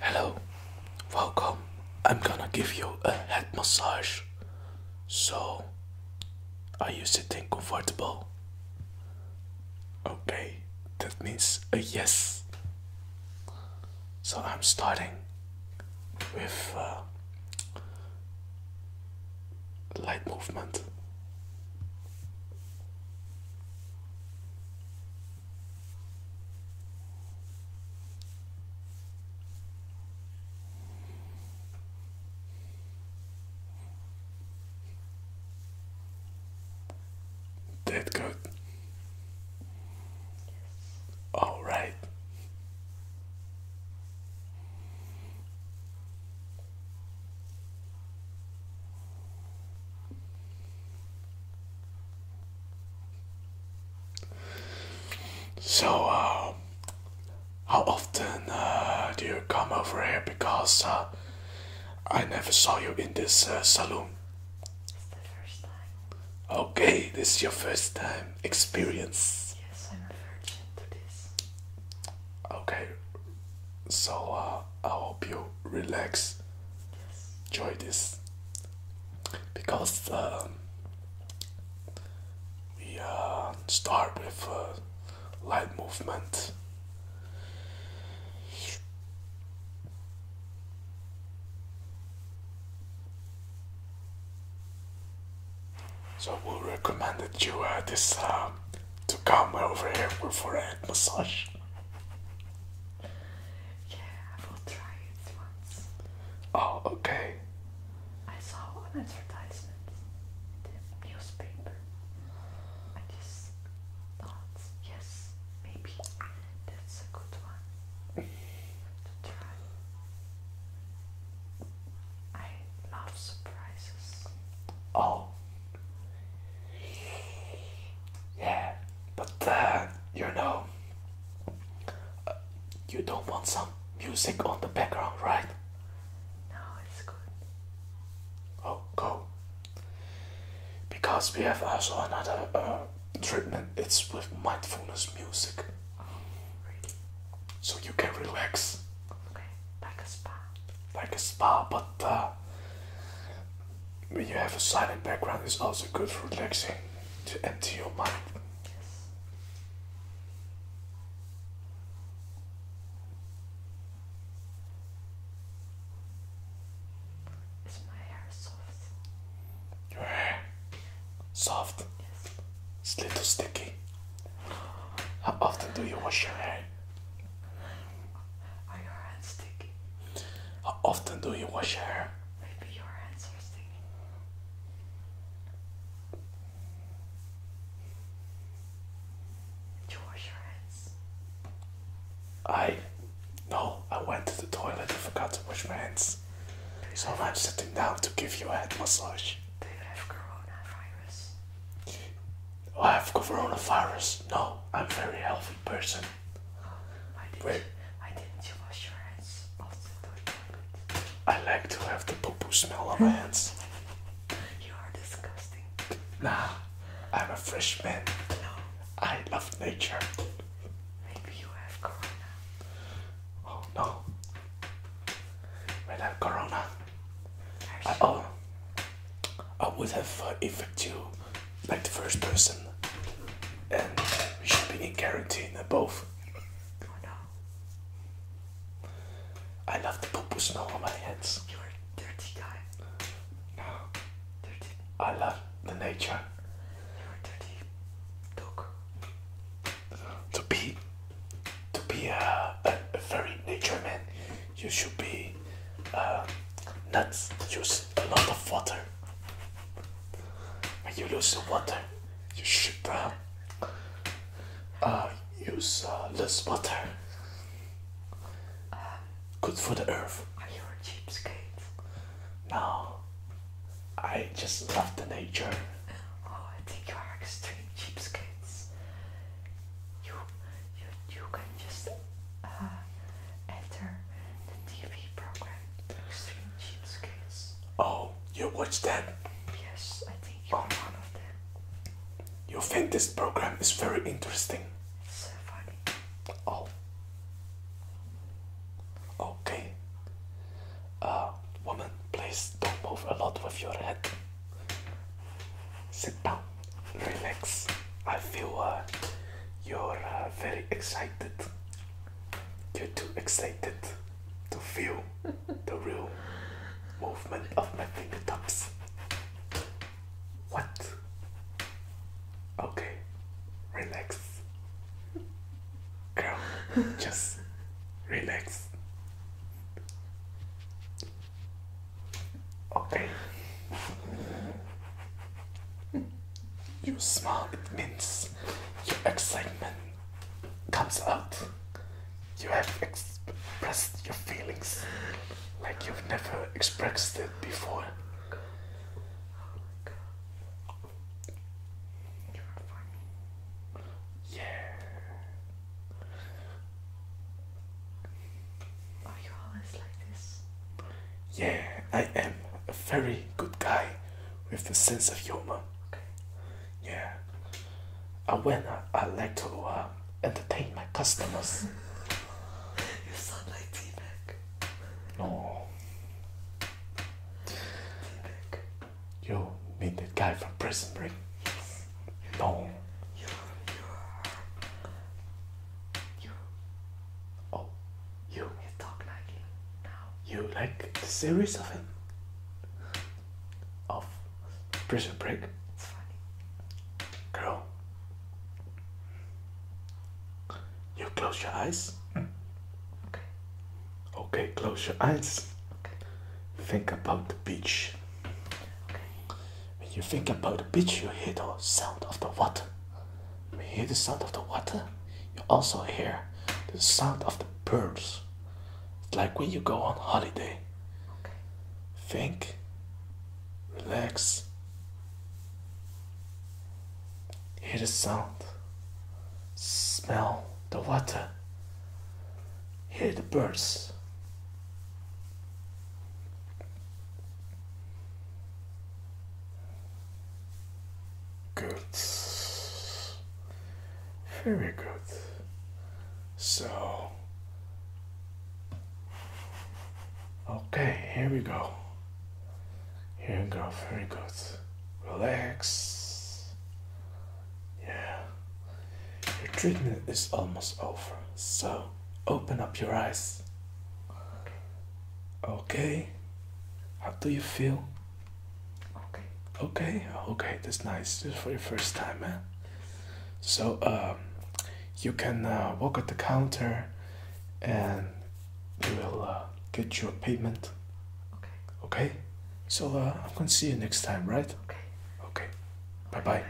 Hello, welcome. I'm gonna give you a head massage. So, are you sitting comfortable? Okay, that means a yes. So, I'm starting with uh, light movement. That good. All right. So, uh, how often uh, do you come over here? Because uh, I never saw you in this uh, saloon. It's the first time. Okay, this is your first time experience. Yes, I'm a virgin to this. Okay, so I hope you relax. Enjoy this because um, we uh, start with uh, light movement. So we recommend that you uh, this uh, to come over here for a massage. Yeah, I will try it once. Oh, okay. I saw an advertisement in the newspaper. I just thought, yes, maybe that's a good one to try. I love surprises. Oh. Yeah but that you know uh, you don't want some music on the background right no it's good oh cool because we have also another uh, treatment it's with mindfulness music oh, really? so you can relax okay like a spa like a spa but uh, when you have a silent background, it's also good for relaxing to empty your mind. Is my hair soft? Your hair soft. It's a little sticky. How often do you wash your hair? Are your hands sticky? How often do you wash your hair? Maybe your hands are stinking. Did you wash your hands? I no, I went to the toilet and forgot to wash my hands. So I'm sitting down to give you a head massage. Do you have coronavirus? I have coronavirus. No, I'm a very healthy person. Wait. why didn't you wash your hands oh, I like to have the poo smell on my hands. you are disgusting. Nah, I'm a freshman. No. I love nature. Maybe you have corona. Oh no. When I corona, oh, I would have uh, infected you like the first person, and we should be in quarantine uh, both. I love the poo poo snow on my hands. You're a dirty guy. No. Dirty. I love the nature. You're a dirty dog. To be, to be a, a very nature man, you should be uh, not use a lot of water. When you lose the water, you should uh, uh, use uh, less water. Um, Good for the earth. Are you a cheapskate? No, I just love the nature. Oh, I think you are extreme cheapskates you you can just uh, enter the TV program Extreme Cheapskates. Oh, you watch that? Yes, I think you're oh. one of them. You think this program is very interesting? It's Oh. Okay. Uh, woman, please don't move a lot with your head. Sit down relax. I feel uh, you're uh, very excited. You're too excited to feel the real movement of my fingertips. What? Okay, relax. Girl, just relax. Okay. You smile, it means your excitement comes out. You have expressed your feelings like you've never expressed it before. Oh yeah. Are you always like this? Yeah, I am a very good guy with a sense of humor. Yeah. Uh, when I, like to um, entertain my customers. you sound like T-Mac. No. T-Mac. You mean that guy from Prison Break? Yes. No. You. Oh, you. He's like him now. You like the series of him? Of Prison Break? Girl. You close your eyes. Okay. Okay, close your eyes. Okay. Think about the beach. Okay. When you think about the beach, you hear the sound of the water. you hear the sound of the water, you also hear the sound of the birds. It's like when you go on holiday. Okay. Think, relax, hear the sound, smell the water, hear the birds. Good. Very good. So, okay, here we go. Here we go. Very good. Relax. Yeah. Your treatment is almost over. So, open up your eyes. Okay. How do you feel? Okay. Okay. Okay. That's nice. This for your first time, man. Eh? So um, you can uh, walk at the counter, and you will uh, get your payment. Okay. Okay. So uh, I'm gonna see you next time, right? Okay. Okay. Bye bye.